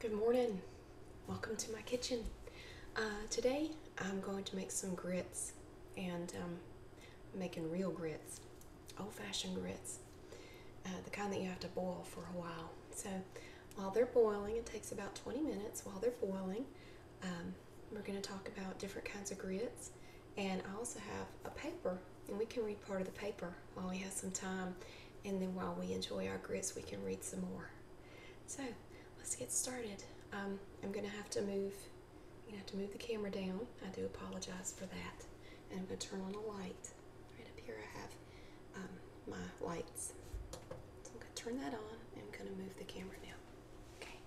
Good morning. Welcome to my kitchen. Uh, today I'm going to make some grits and um, making real grits, old-fashioned grits, uh, the kind that you have to boil for a while. So while they're boiling, it takes about 20 minutes while they're boiling, um, we're going to talk about different kinds of grits and I also have a paper and we can read part of the paper while we have some time and then while we enjoy our grits, we can read some more. So let's get started. Um, I'm gonna have to move. i have to move the camera down. I do apologize for that. And I'm gonna turn on a light. Right up here, I have um, my lights. So I'm gonna turn that on. And I'm gonna move the camera now. Okay.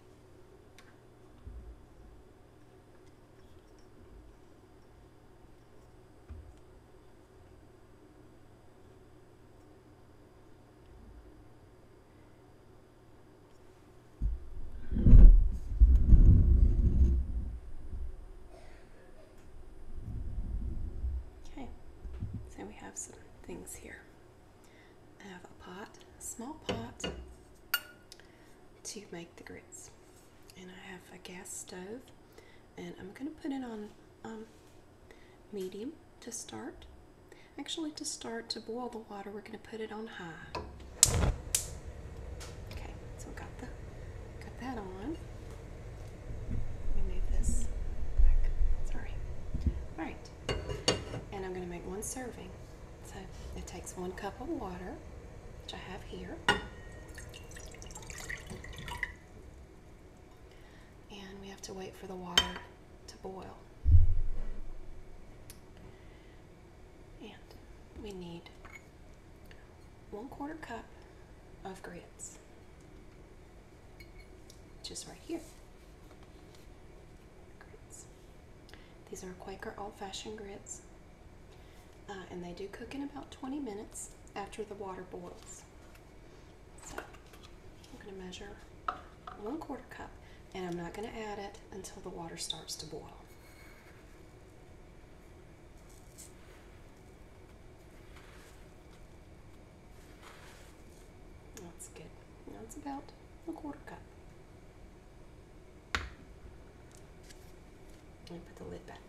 Okay, so we have some things here. I have a pot, a small pot to make the grits, and I have a gas stove and I'm gonna put it on um, medium to start. Actually, to start to boil the water, we're gonna put it on high. Okay, so got the got that on. Let this Sorry. All right, and I'm gonna make one serving. So it takes one cup of water, which I have here. And we have to wait for the water to boil. And we need one quarter cup of grits, which is right here. These are Quaker old fashioned grits. Uh, and they do cook in about 20 minutes after the water boils. So I'm going to measure one quarter cup, and I'm not going to add it until the water starts to boil. That's good. That's about a quarter cup. Let put the lid back.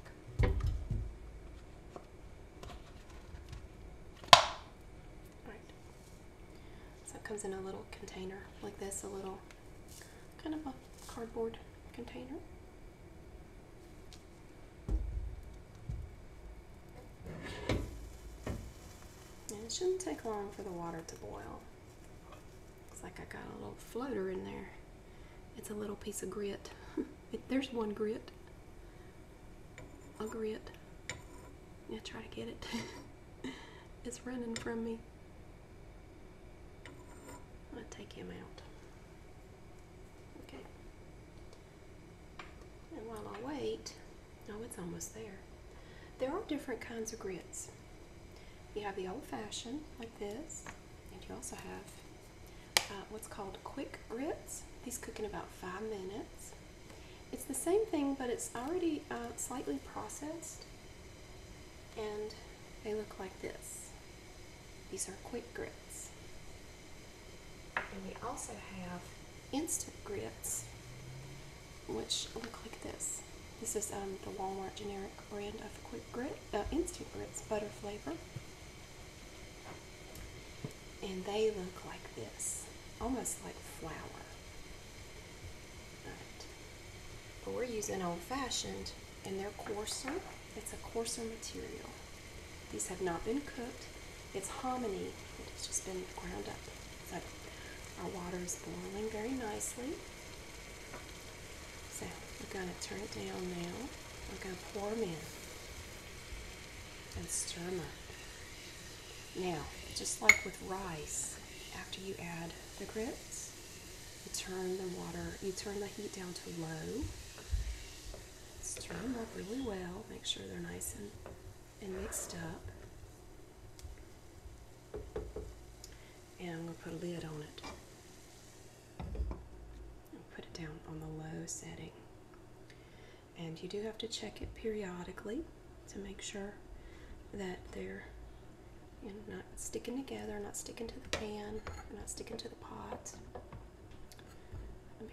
Alright. So it comes in a little container like this, a little kind of a cardboard container. And it shouldn't take long for the water to boil. Looks like I got a little floater in there. It's a little piece of grit. there's one grit. A grit. I try to get it. it's running from me. I'll take him out. Okay. And while I wait, oh, it's almost there. There are different kinds of grits. You have the old fashioned, like this, and you also have uh, what's called quick grits. These cook in about five minutes. It's the same thing, but it's already uh, slightly processed, and they look like this. These are quick grits. And we also have instant grits, which look like this. This is um, the Walmart generic brand of quick grit, uh, instant grits, butter flavor. And they look like this, almost like flour. But, we're using old fashioned and they're coarser. It's a coarser material. These have not been cooked. It's hominy. It's just been ground up. So our water is boiling very nicely. So we're going to turn it down now. I'm going to pour them in and stir them Now, just like with rice, after you add the grits, you turn the water, you turn the heat down to low. Stir them up really well. Make sure they're nice and, and mixed up. And I'm going to put a lid on it i put it down on the low setting. And you do have to check it periodically to make sure that they're not sticking together, not sticking to the pan, not sticking to the pot.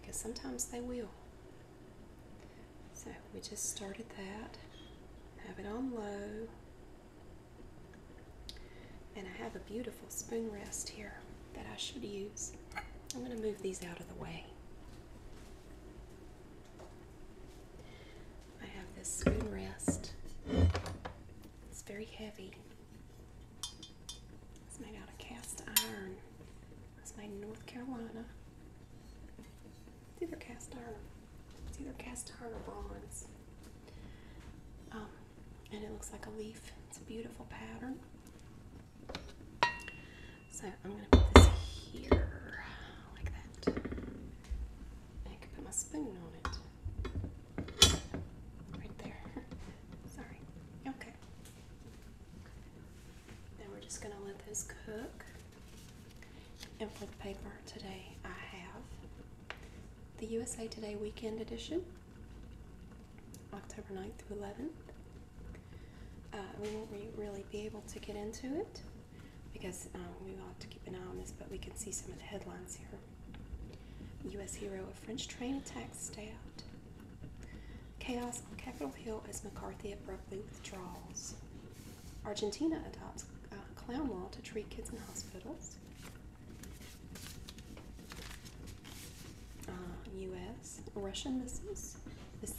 Because sometimes they will. So we just started that. Have it on low. And I have a beautiful spoon rest here that I should use. I'm going to move these out of the way. I have this spoon rest. It's very heavy. It's made out of cast iron. It's made in North Carolina. It's either cast iron. It's either cast iron or bronze. Um, and it looks like a leaf. It's a beautiful pattern. So I'm going to put this here like that. And I can put my spoon on it. Right there. Sorry. Okay. Now we're just going to let this cook. And for the paper today, I have the USA Today Weekend Edition. October 9th through 11th. Uh, we won't really be able to get into it because um, we will have to keep an eye on this, but we can see some of the headlines here. U.S. hero of French train attacks stabbed. Chaos on Capitol Hill as McCarthy abruptly withdraws. Argentina adopts uh, clown law to treat kids in hospitals. U.S. Uh, Russian missiles.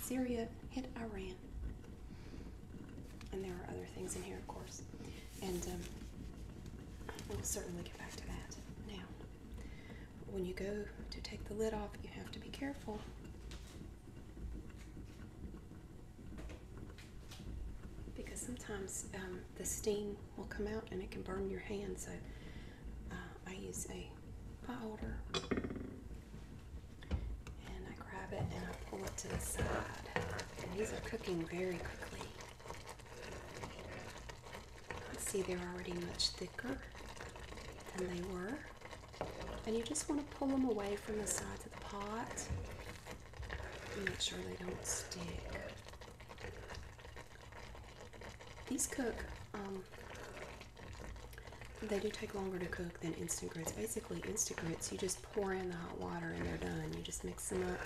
Syria hit Iran. And there are other things in here, of course. And um, we'll certainly get back to that. Now, when you go to take the lid off, you have to be careful. Because sometimes um, the steam will come out and it can burn your hand. So uh, I use a powder and I grab it and I pull it to the side. And these are cooking very quickly. I see they're already much thicker than they were. And you just want to pull them away from the sides of the pot. Make sure they don't stick. These cook, um, they do take longer to cook than instant grits. Basically, instant grits, you just pour in the hot water and they're done. You just mix them up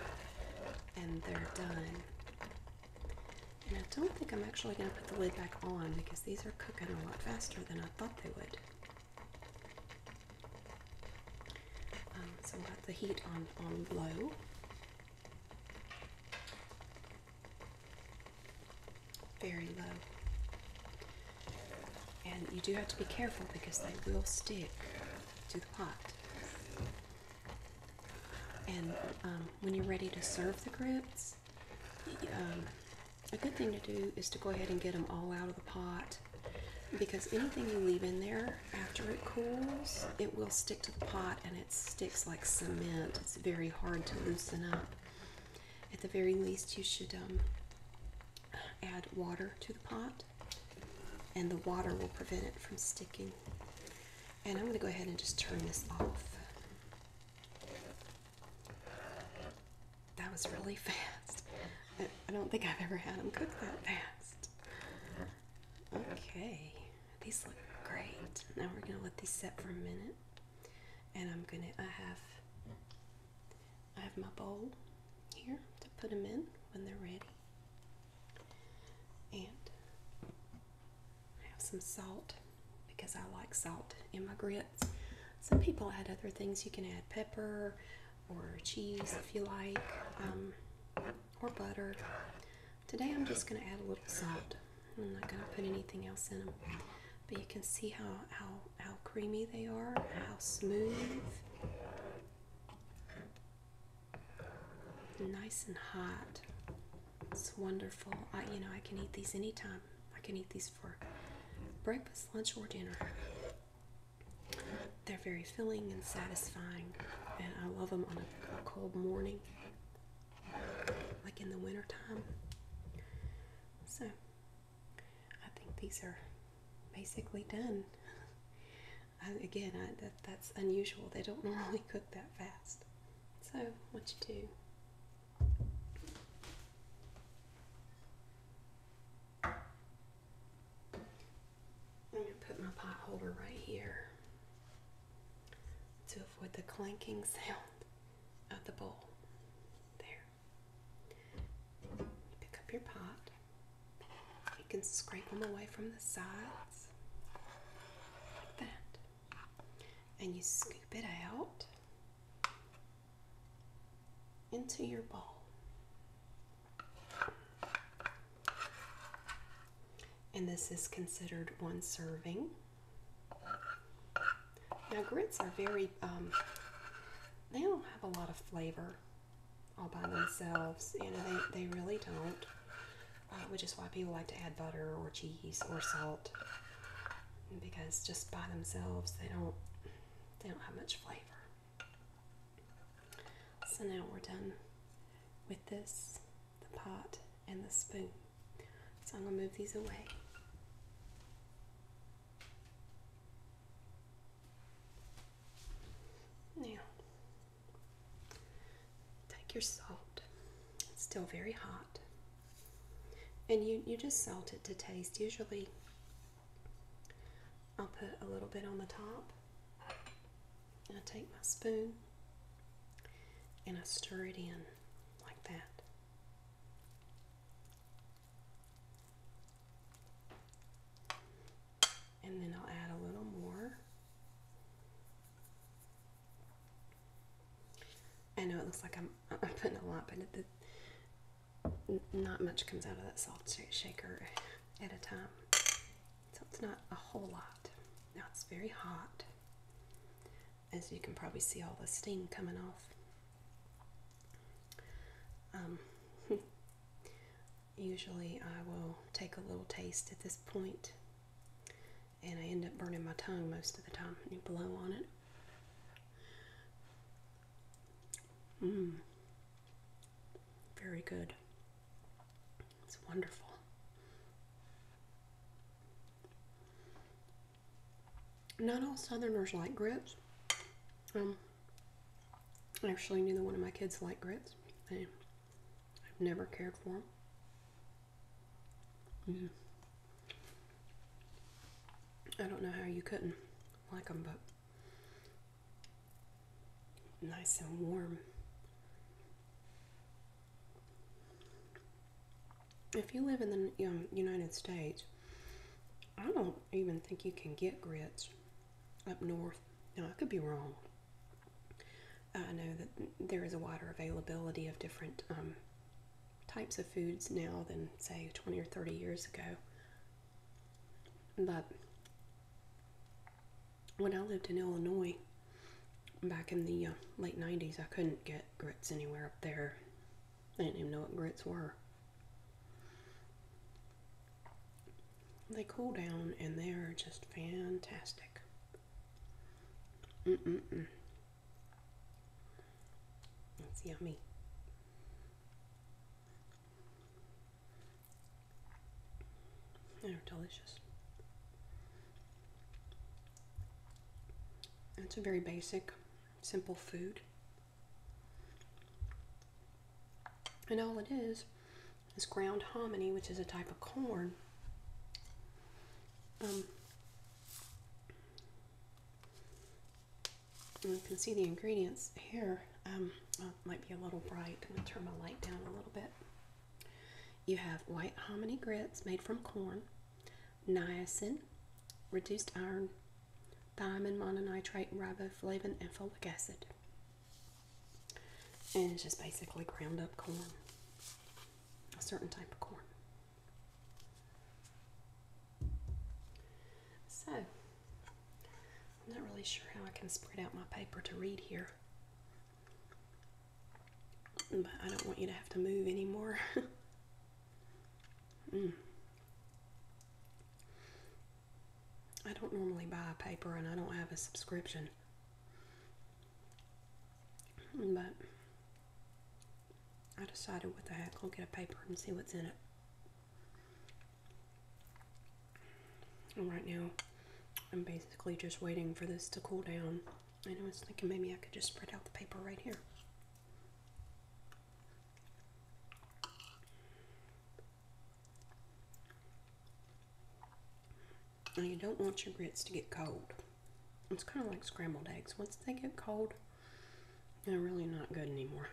and they're done. And I don't think I'm actually going to put the lid back on because these are cooking a lot faster than I thought they would. Um, so I've got the heat on, on low. Very low. And you do have to be careful because they will stick to the pot. And um, when you're ready to serve the grits, um, a good thing to do is to go ahead and get them all out of the pot because anything you leave in there after it cools, it will stick to the pot and it sticks like cement. It's very hard to loosen up. At the very least, you should um, add water to the pot, and the water will prevent it from sticking. And I'm going to go ahead and just turn this off. That was really fast. I don't think I've ever had them cook that fast. Okay. These look great. Now we're gonna let these set for a minute. And I'm gonna I have I have my bowl here to put them in when they're ready. And I have some salt because I like salt in my grits. Some people add other things. You can add pepper or cheese if you like, um, or butter. Today I'm just going to add a little salt. I'm not going to put anything else in them. But you can see how, how, how creamy they are, how smooth. Nice and hot. It's wonderful. I, you know, I can eat these anytime. I can eat these for breakfast, lunch, or dinner. They're very filling and satisfying, and I love them on a cold morning like in the winter time. So I think these are basically done. again, that, that's unusual. They don't normally cook that fast. So what you do I'm going to put my pot holder right here to avoid the clanking sound of the bowl. There. Pick up your pot. You can scrape them away from the sides like that. And you scoop it out into your bowl. And this is considered one serving. Now, grits are very, um, they don't have a lot of flavor all by themselves. You know, they, they really don't, uh, which is why people like to add butter or cheese or salt because just by themselves they don't they don't have much flavor. So now we're done with this the pot, and the spoon. So I'm going to move these away. Now, take your salt. It's still very hot. And you, you just salt it to taste. Usually, I'll put a little bit on the top I take my spoon and I stir it in like that. And then I'll add a little more. I know it looks like I'm, putting a lot, but not much comes out of that salt shaker at a time. So it's not a whole lot. Now it's very hot. As you can probably see all the steam coming off. Um, usually I will take a little taste at this point and I end up burning my tongue most of the time. You blow on it. Mmm. Very good. It's wonderful. Not all Southerners like grits. Um, actually, neither one of my kids like grits. They, I've never cared for them. Mm. Mm-hmm. I don't know how you couldn't like them, but nice and warm. If you live in the United States, I don't even think you can get grits up north. Now, I could be wrong. I know that there is a wider availability of different um, types of foods now than, say, 20 or 30 years ago. But when I lived in Illinois back in the uh, late 90s, I couldn't get grits anywhere up there. I didn't even know what grits were. They cool down and they're just fantastic. Mm-mm-mm. It's yummy. They're delicious. It's a very basic, simple food. And all it is is ground hominy, which is a type of corn. Um, you can see the ingredients here. Um, might be a little bright. I'm going to turn my light down a little bit. You have white hominy grits made from corn, niacin, reduced iron, thiamine, mononitrate, riboflavin, and folic acid. And it's just basically ground up corn, a certain type of corn. So, I'm not really sure how I can spread out my paper to read here. But I don't want you to have to move anymore. Mm. I don't normally buy a paper and I don't have a subscription. But I decided what the heck, I'll get a paper and see what's in it. And right now, I'm basically just waiting for this to cool down. And I was thinking maybe I could just spread out the paper right here. Now you don't want your grits to get cold. It's kind of like scrambled eggs. Once they get cold, they're really not good anymore.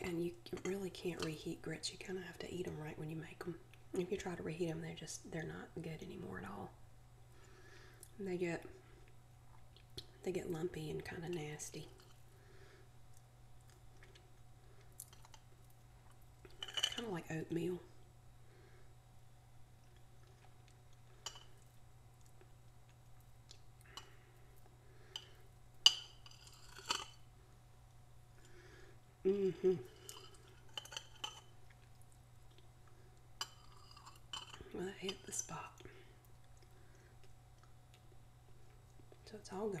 And you really can't reheat grits. You kind of have to eat them right when you make them. If you try to reheat them, they're just they're not good anymore at all. they get they get lumpy and kind of nasty. Kind of like oatmeal. Mm-hmm. Well, that hit the spot. So it's all gone.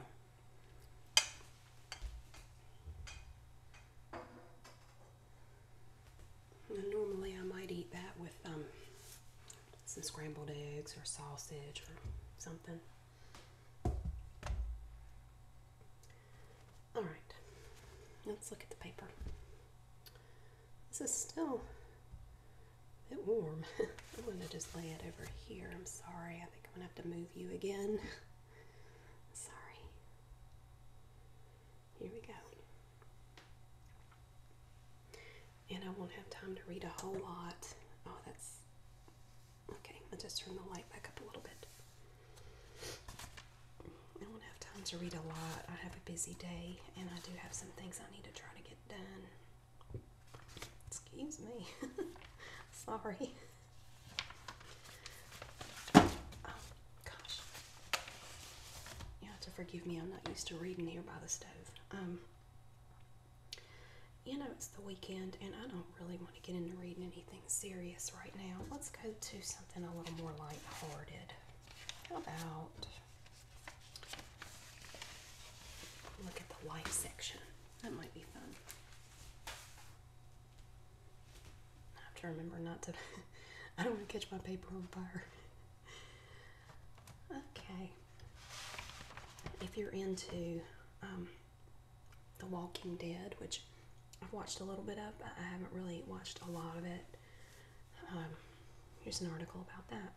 normally I might eat that with um, some scrambled eggs or sausage or something. All right, let's look at the paper. This is still a bit warm. I'm going to just lay it over here. I'm sorry. I think I'm going to have to move you again. sorry. Here we go. And I won't have time to read a whole lot. Oh, that's Okay, I'll just turn the light back up a little bit. I do not have time to read a lot. I have a busy day and I do have some things I need to try to get done. Excuse me. Sorry. Oh, gosh. You have to forgive me. I'm not used to reading here by the stove. Um, you know, it's the weekend and I don't really want want get into reading anything serious right now. Let's go to something a little more lighthearted. How about look at the life section? That might be fun. I have to remember not to. I don't want to catch my paper on fire. Okay. If you're into um, the Walking Dead, which I've watched a little bit of, I haven't really watched a lot of it. Um, here's an article about that.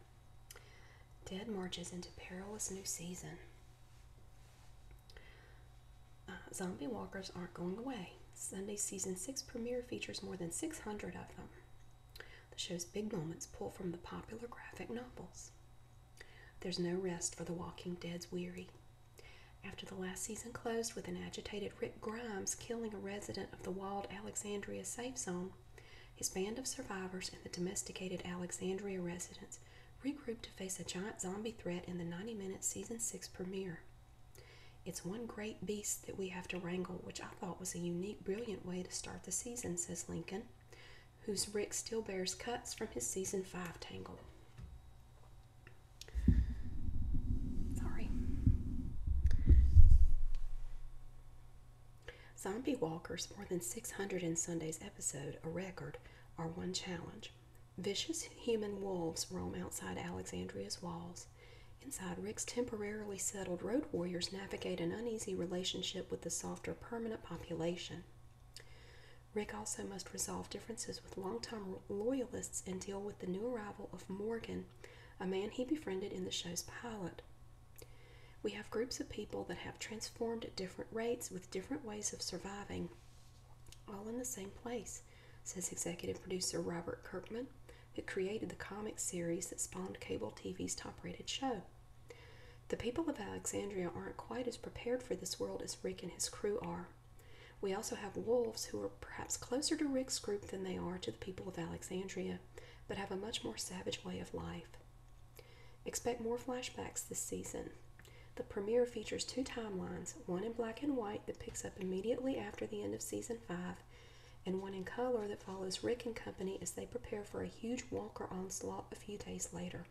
Dead marches into perilous new season. Uh, zombie walkers aren't going away. Sunday's season 6 premiere features more than 600 of them. The show's big moments pull from the popular graphic novels. There's no rest for the Walking Dead's weary. After the last season closed with an agitated Rick Grimes killing a resident of the walled Alexandria safe zone, his band of survivors and the domesticated Alexandria residents regrouped to face a giant zombie threat in the 90 minute season 6 premiere. It's one great beast that we have to wrangle, which I thought was a unique, brilliant way to start the season, says Lincoln, whose Rick still bears cuts from his season 5 tangle. Sorry. Zombie walkers, more than 600 in Sunday's episode, a record, are one challenge. Vicious human wolves roam outside Alexandria's walls. Inside, Rick's temporarily settled road warriors navigate an uneasy relationship with the softer permanent population. Rick also must resolve differences with longtime loyalists and deal with the new arrival of Morgan, a man he befriended in the show's pilot. We have groups of people that have transformed at different rates with different ways of surviving, all in the same place, says executive producer Robert Kirkman, who created the comic series that spawned cable TV's top rated show. The people of Alexandria aren't quite as prepared for this world as Rick and his crew are. We also have wolves who are perhaps closer to Rick's group than they are to the people of Alexandria, but have a much more savage way of life. Expect more flashbacks this season. The premiere features two timelines one in black and white that picks up immediately after the end of season 5, and one in color that follows Rick and company as they prepare for a huge walker onslaught a few days later.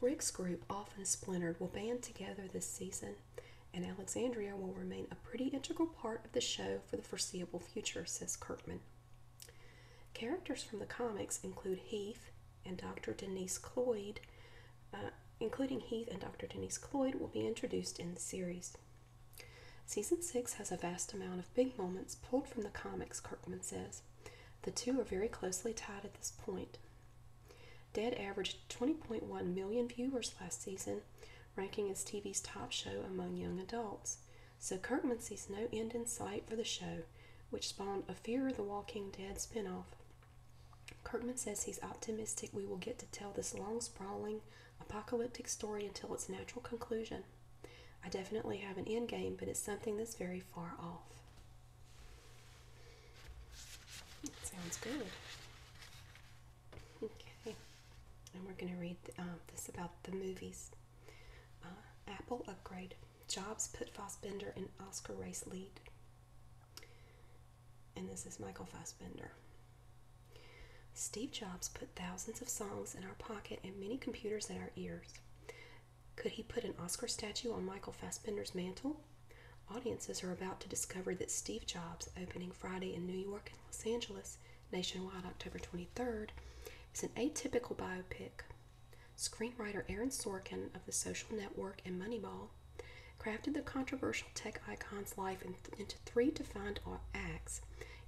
Rick's group, often splintered, will band together this season, and Alexandria will remain a pretty integral part of the show for the foreseeable future, says Kirkman. Characters from the comics include Heath and Dr. Denise Cloyd, uh, including Heath and Dr. Denise Cloyd, will be introduced in the series. Season 6 has a vast amount of big moments pulled from the comics, Kirkman says. The two are very closely tied at this point. Dead averaged 20.1 million viewers last season, ranking as TV's top show among young adults. So Kirkman sees no end in sight for the show, which spawned a Fear of the Walking Dead spinoff. Kirkman says he's optimistic we will get to tell this long, sprawling, apocalyptic story until its natural conclusion. I definitely have an end game, but it's something that's very far off. That sounds good. Okay, and we're going to read um, this about the movies. Uh, Apple upgrade. Jobs put Fassbender in Oscar race lead. And this is Michael Fassbender. Steve Jobs put thousands of songs in our pocket and many computers in our ears. Could he put an Oscar statue on Michael Fassbender's mantle? Audiences are about to discover that Steve Jobs, opening Friday in New York and Los Angeles, nationwide October 23rd, is an atypical biopic. Screenwriter Aaron Sorkin of The Social Network and Moneyball crafted the controversial tech icon's life into three defined acts,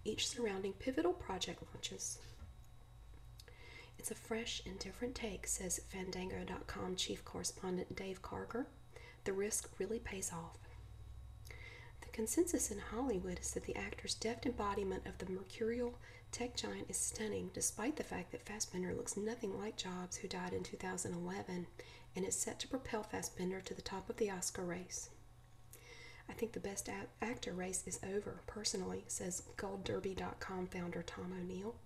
each surrounding pivotal project launches. It's a fresh and different take, says Fandango.com chief correspondent Dave Carger. The risk really pays off. The consensus in Hollywood is that the actor's deft embodiment of the mercurial tech giant is stunning, despite the fact that Fassbender looks nothing like Jobs, who died in 2011, and is set to propel Fassbender to the top of the Oscar race. I think the best actor race is over, personally, says GoldDerby.com founder Tom O'Neill.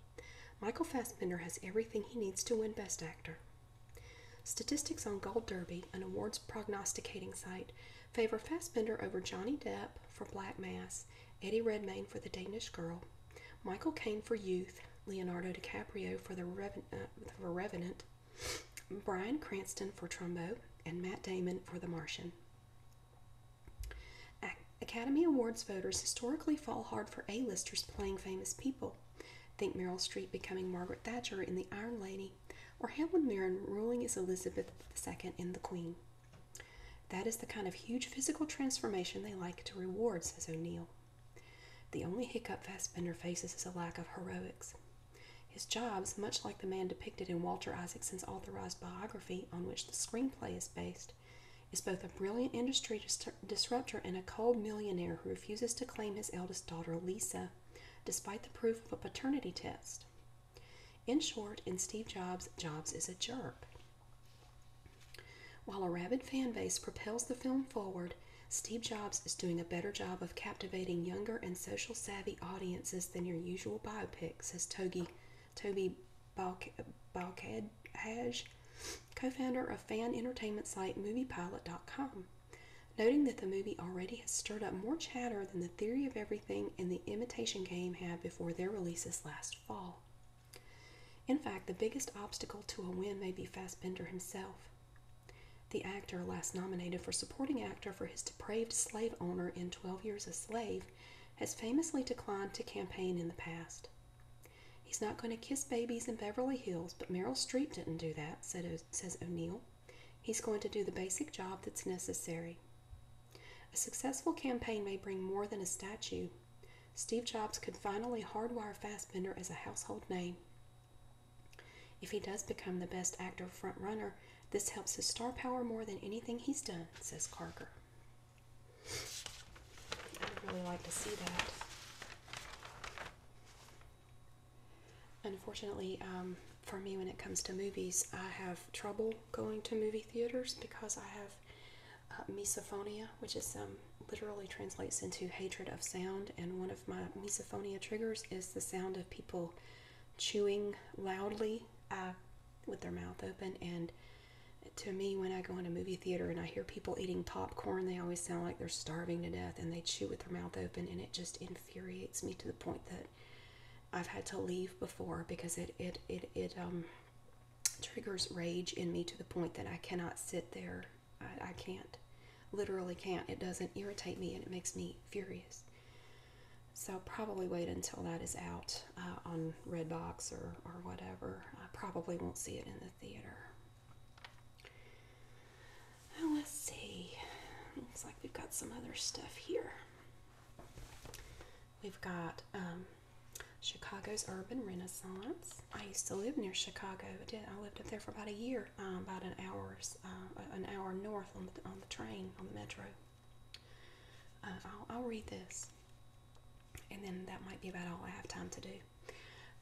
Michael Fassbender has everything he needs to win Best Actor. Statistics on Gold Derby, an awards prognosticating site, favor Fassbender over Johnny Depp for Black Mass, Eddie Redmayne for The Danish Girl, Michael Caine for Youth, Leonardo DiCaprio for The for uh, Revenant, Brian Cranston for Trumbo, and Matt Damon for The Martian. Academy Awards voters historically fall hard for A-listers playing famous people. Think Meryl Streep becoming Margaret Thatcher in The Iron Lady, or Helen Mirren ruling as Elizabeth II in The Queen. That is the kind of huge physical transformation they like to reward, says O'Neill. The only hiccup Fassbender faces is a lack of heroics. His jobs, much like the man depicted in Walter Isaacson's authorized biography on which the screenplay is based, is both a brilliant industry disruptor and a cold millionaire who refuses to claim his eldest daughter, Lisa, despite the proof of a paternity test. In short, in Steve Jobs, Jobs is a jerk. While a rabid fan base propels the film forward, Steve Jobs is doing a better job of captivating younger and social savvy audiences than your usual biopic, says Togi Toby Balkhead Haj, co founder of fan entertainment site MoviePilot.com, noting that the movie already has stirred up more chatter than The Theory of Everything and The Imitation Game had before their releases last fall. In fact, the biggest obstacle to a win may be Fassbender himself. The actor, last nominated for supporting actor for his depraved slave owner in 12 Years a Slave, has famously declined to campaign in the past. He's not going to kiss babies in Beverly Hills, but Meryl Streep didn't do that, says O'Neill. He's going to do the basic job that's necessary. A successful campaign may bring more than a statue. Steve Jobs could finally hardwire Fassbender as a household name. If he does become the best actor front runner, this helps his star power more than anything he's done, says Carker. I'd really like to see that. Unfortunately, um, for me, when it comes to movies, I have trouble going to movie theaters because I have uh, misophonia, which is um, literally translates into hatred of sound. And one of my misophonia triggers is the sound of people chewing loudly uh, with their mouth open and to me, when I go into a movie theater and I hear people eating popcorn, they always sound like they're starving to death and they chew with their mouth open, and it just infuriates me to the point that I've had to leave before because it it it it um triggers rage in me to the point that I cannot sit there. I, I can't, literally can't. It doesn't irritate me and it makes me furious. So I'll probably wait until that is out uh, on Redbox or, or whatever. I probably won't see it in the theater. let's see. Looks like we've got some other stuff here. We've got um, Chicago's Urban Renaissance. I used to live near Chicago. I did. I lived up there for about a year, um, about an hour's, uh, an hour north on the, on the train, on the metro. Uh, I'll read this. And then that might be about all I have time to do.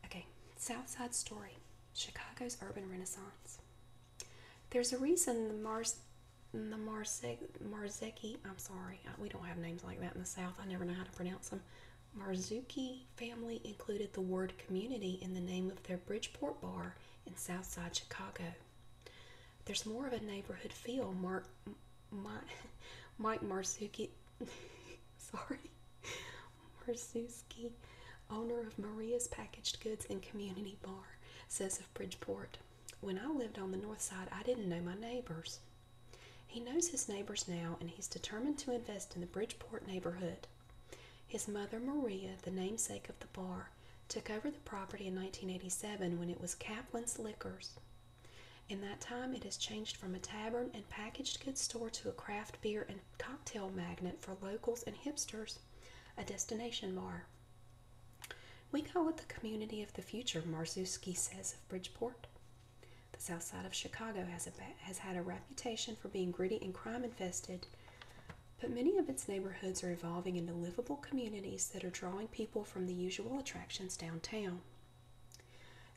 Okay, South Side Story Chicago's Urban Renaissance. There's a reason the Mars. The Marse Marzeki, I'm sorry, we don't have names like that in the South. I never know how to pronounce them. Marzuki family included the word community in the name of their Bridgeport bar in South Side Chicago. There's more of a neighborhood feel mark, my, Mike Marsuki, sorry, Marsuski, owner of Maria's Packaged Goods and Community Bar, says of Bridgeport, When I lived on the north side, I didn't know my neighbors. He knows his neighbors now, and he's determined to invest in the Bridgeport neighborhood. His mother, Maria, the namesake of the bar, took over the property in 1987 when it was Kaplan's Liquors. In that time, it has changed from a tavern and packaged goods store to a craft beer and cocktail magnet for locals and hipsters, a destination bar. We call it the community of the future, Marzuski says of Bridgeport. The south side of Chicago has, has had a reputation for being gritty and crime infested, but many of its neighborhoods are evolving into livable communities that are drawing people from the usual attractions downtown.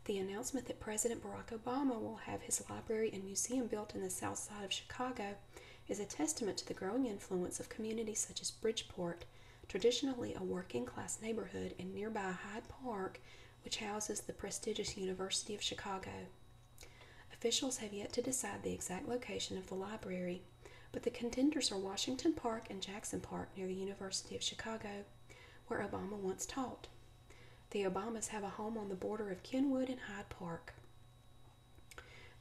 The announcement that President Barack Obama will have his library and museum built in the south side of Chicago is a testament to the growing influence of communities such as Bridgeport, traditionally a working class neighborhood, and nearby Hyde Park, which houses the prestigious University of Chicago. Officials have yet to decide the exact location of the library, but the contenders are Washington Park and Jackson Park near the University of Chicago, where Obama once taught. The Obamas have a home on the border of Kenwood and Hyde Park.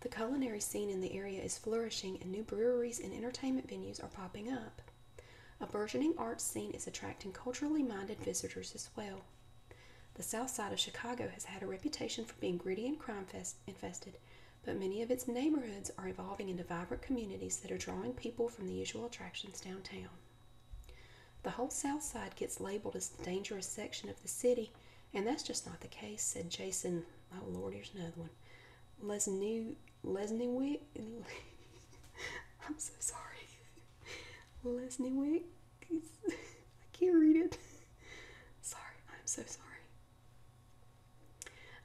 The culinary scene in the area is flourishing, and new breweries and entertainment venues are popping up. A burgeoning arts scene is attracting culturally minded visitors as well. The south side of Chicago has had a reputation for being gritty and crime infested, but many of its neighborhoods are evolving into vibrant communities that are drawing people from the usual attractions downtown. The whole south side gets labeled as the dangerous section of the city, and that's just not the case, said Jason. Oh, Lord, here's another one. Lesniewicz. Lesniewicz. I'm so sorry. Lesniewicz. I can't read it. Sorry, I'm so sorry.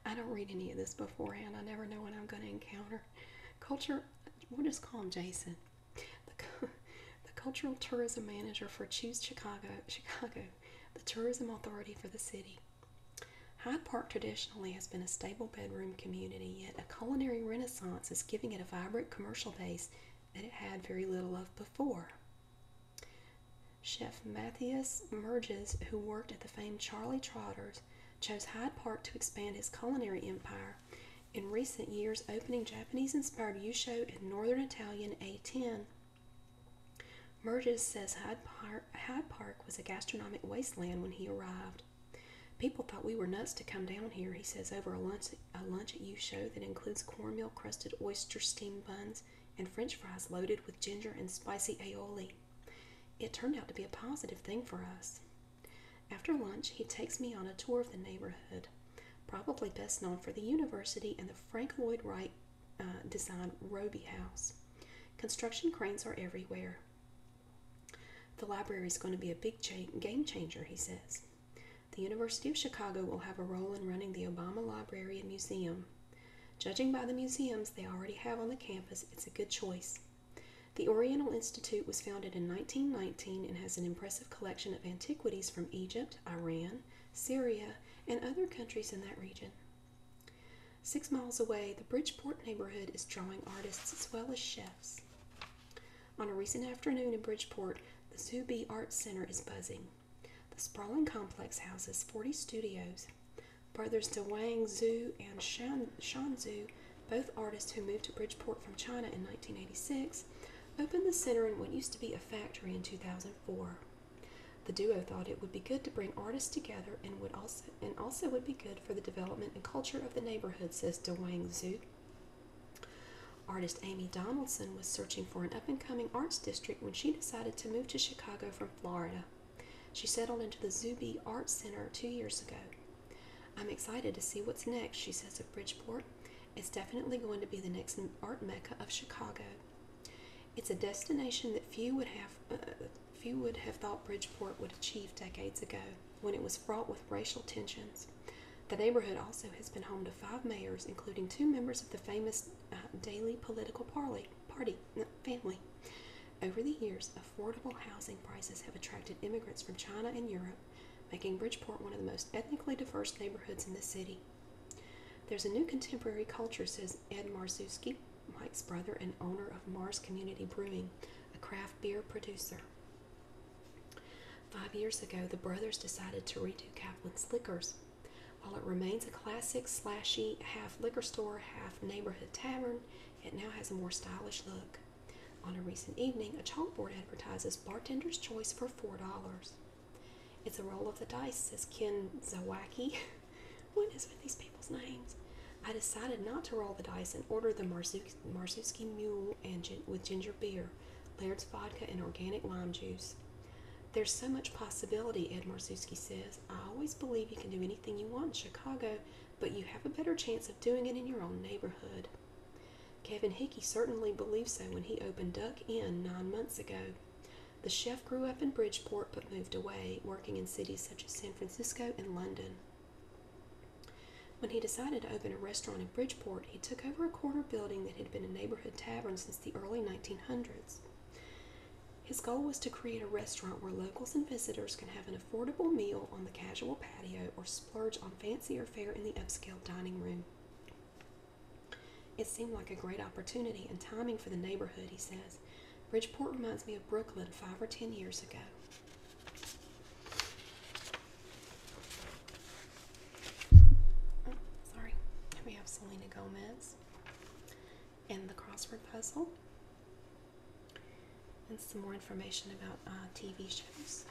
I don't read any of this beforehand. I never know what I'm going to encounter. Culture, we'll just call him Jason. The, cultural tourism manager for Choose Chicago, Chicago, the tourism authority for the city. Hyde Park traditionally has been a stable bedroom community, yet a culinary renaissance is giving it a vibrant commercial base that it had very little of before. Chef Matthias Merges, who worked at the famed Charlie Trotter's, chose Hyde Park to expand his culinary empire. In recent years, opening Japanese inspired Yusho and Northern Italian A10. Merges says Hyde Park, Hyde Park was a gastronomic wasteland when he arrived. People thought we were nuts to come down here, he says, over a lunch, a lunch at Yusho that includes cornmeal crusted oyster steamed buns and french fries loaded with ginger and spicy aioli. It turned out to be a positive thing for us. After lunch, he takes me on a tour of the neighborhood, probably best known for the university and the Frank Lloyd Wright uh, designed Roby House. Construction cranes are everywhere. The library is going to be a big game changer, he says. The University of Chicago will have a role in running the Obama Library and Museum. Judging by the museums they already have on the campus, it's a good choice. The Oriental Institute was founded in 1919 and has an impressive collection of antiquities from Egypt, Iran, Syria, and other countries in that region. Six miles away, the Bridgeport neighborhood is drawing artists as well as chefs. On a recent afternoon in Bridgeport, the Zubi Arts Center is buzzing. The sprawling complex houses 40 studios, Brothers to Wang Zhu and Shan, Shan Zhu, both artists who moved to Bridgeport from China in 1986, opened the center in what used to be a factory in 2004. The duo thought it would be good to bring artists together and would also and also would be good for the development and culture of the neighborhood, says DeWang Zhu. Artist Amy Donaldson was searching for an up and coming arts district when she decided to move to Chicago from Florida. She settled into the Zuby Art Center two years ago. I'm excited to see what's next, she says of Bridgeport. It's definitely going to be the next art mecca of Chicago. It's a destination that few would have uh, few would have thought Bridgeport would achieve decades ago, when it was fraught with racial tensions. The neighborhood also has been home to five mayors, including two members of the famous uh, Daily Political Party uh, family. Over the years, a affordable housing prices have attracted immigrants from China and Europe, making Bridgeport one of the most ethnically diverse neighborhoods in the city. There's a new contemporary culture, says Ed Marzuski, Mike's brother and owner of Mars Community Brewing, a craft beer producer. Five years ago, the brothers decided to redo Kaplan's Liquors. While it remains a classic slashy half liquor store, half neighborhood tavern, it now has a more stylish look. On a recent evening, a chalkboard advertises Bartender's Choice for $4. It's a roll of the dice, says Ken Zawacki. what is with these people's names? I decided not to roll the dice and ordered the Marzuki Mule with ginger beer, Laird's vodka, and organic lime juice. There's so much possibility, Ed Marzuki says. I always believe you can do anything you want in Chicago, but you have a better chance of doing it in your own neighborhood. Kevin Hickey certainly believed so when he opened Duck Inn nine months ago. The chef grew up in Bridgeport but moved away, working in cities such as San Francisco and London. When he decided to open a restaurant in Bridgeport, he took over a corner building that had been a neighborhood tavern since the early 1900s. His goal was to create a restaurant where locals and visitors can have an affordable meal on the casual patio or splurge on fancier fare in the upscale dining room. It seemed like a great opportunity and timing for the neighborhood, he says. Bridgeport reminds me of Brooklyn five or ten years ago. Oh, sorry, we have Selena Gomez and the crossword puzzle and some more information about uh, TV shows.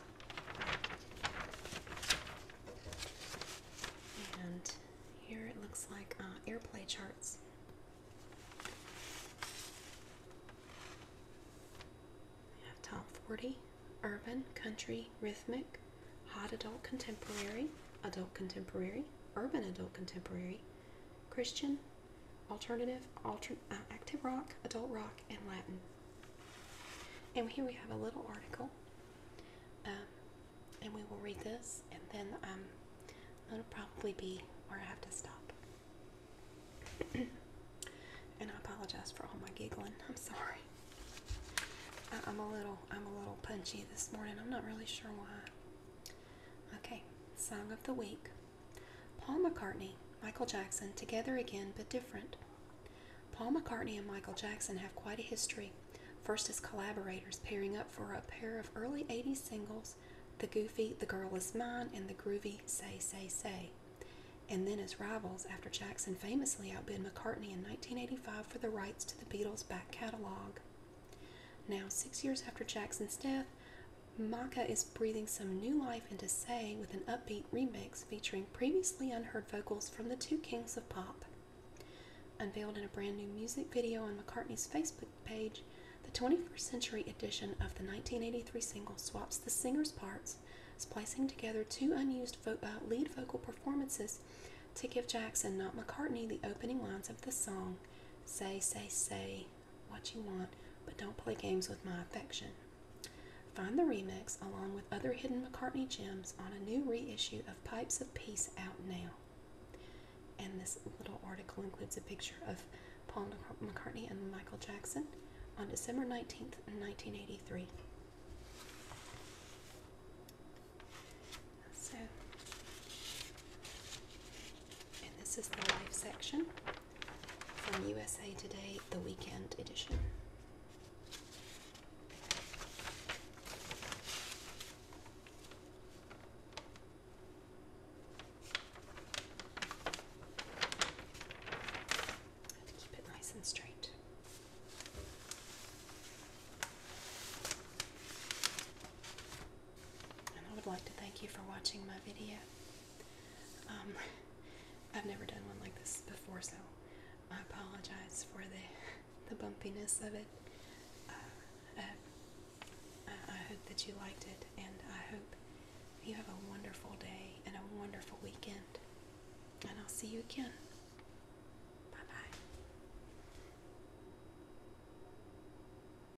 And here it looks like uh, airplay charts. We have top 40, urban, country, rhythmic, hot adult contemporary, adult contemporary, urban adult contemporary, Christian, alternative, altern uh, active rock, adult rock, and Latin. And here we have a little article, um, and we will read this, and then um, that'll probably be where I have to stop. and I apologize for all my giggling. I'm sorry. I'm a little, I'm a little punchy this morning. I'm not really sure why. Okay, song of the week. Paul McCartney, Michael Jackson, together again but different. Paul McCartney and Michael Jackson have quite a history, first as collaborators, pairing up for a pair of early 80s singles, The Goofy, The Girl Is Mine, and The Groovy Say Say Say, and then as rivals after Jackson famously outbid McCartney in 1985 for the rights to the Beatles' back catalog. Now, six years after Jackson's death, Maka is breathing some new life into Say with an upbeat remix featuring previously unheard vocals from the two kings of pop. Unveiled in a brand new music video on McCartney's Facebook page, the 21st century edition of the 1983 single swaps the singer's parts, splicing together two unused uh, lead vocal performances to give Jackson, not McCartney, the opening lines of the song Say, Say, Say what you want, but don't play games with my affection. Find the remix along with other hidden McCartney gems on a new reissue of Pipes of Peace out now. And this little article includes a picture of Paul McCartney and Michael Jackson on December 19th, 1983. So and this is the life section from USA Today, the weekend edition. I have keep it nice and straight. And I would like to thank you for watching my video. Um, I've never done one like this before, so I apologize for the the bumpiness of it. Uh, I, I hope that you liked it, and I hope you have a wonderful day and a wonderful weekend. And I'll see you again. Bye bye.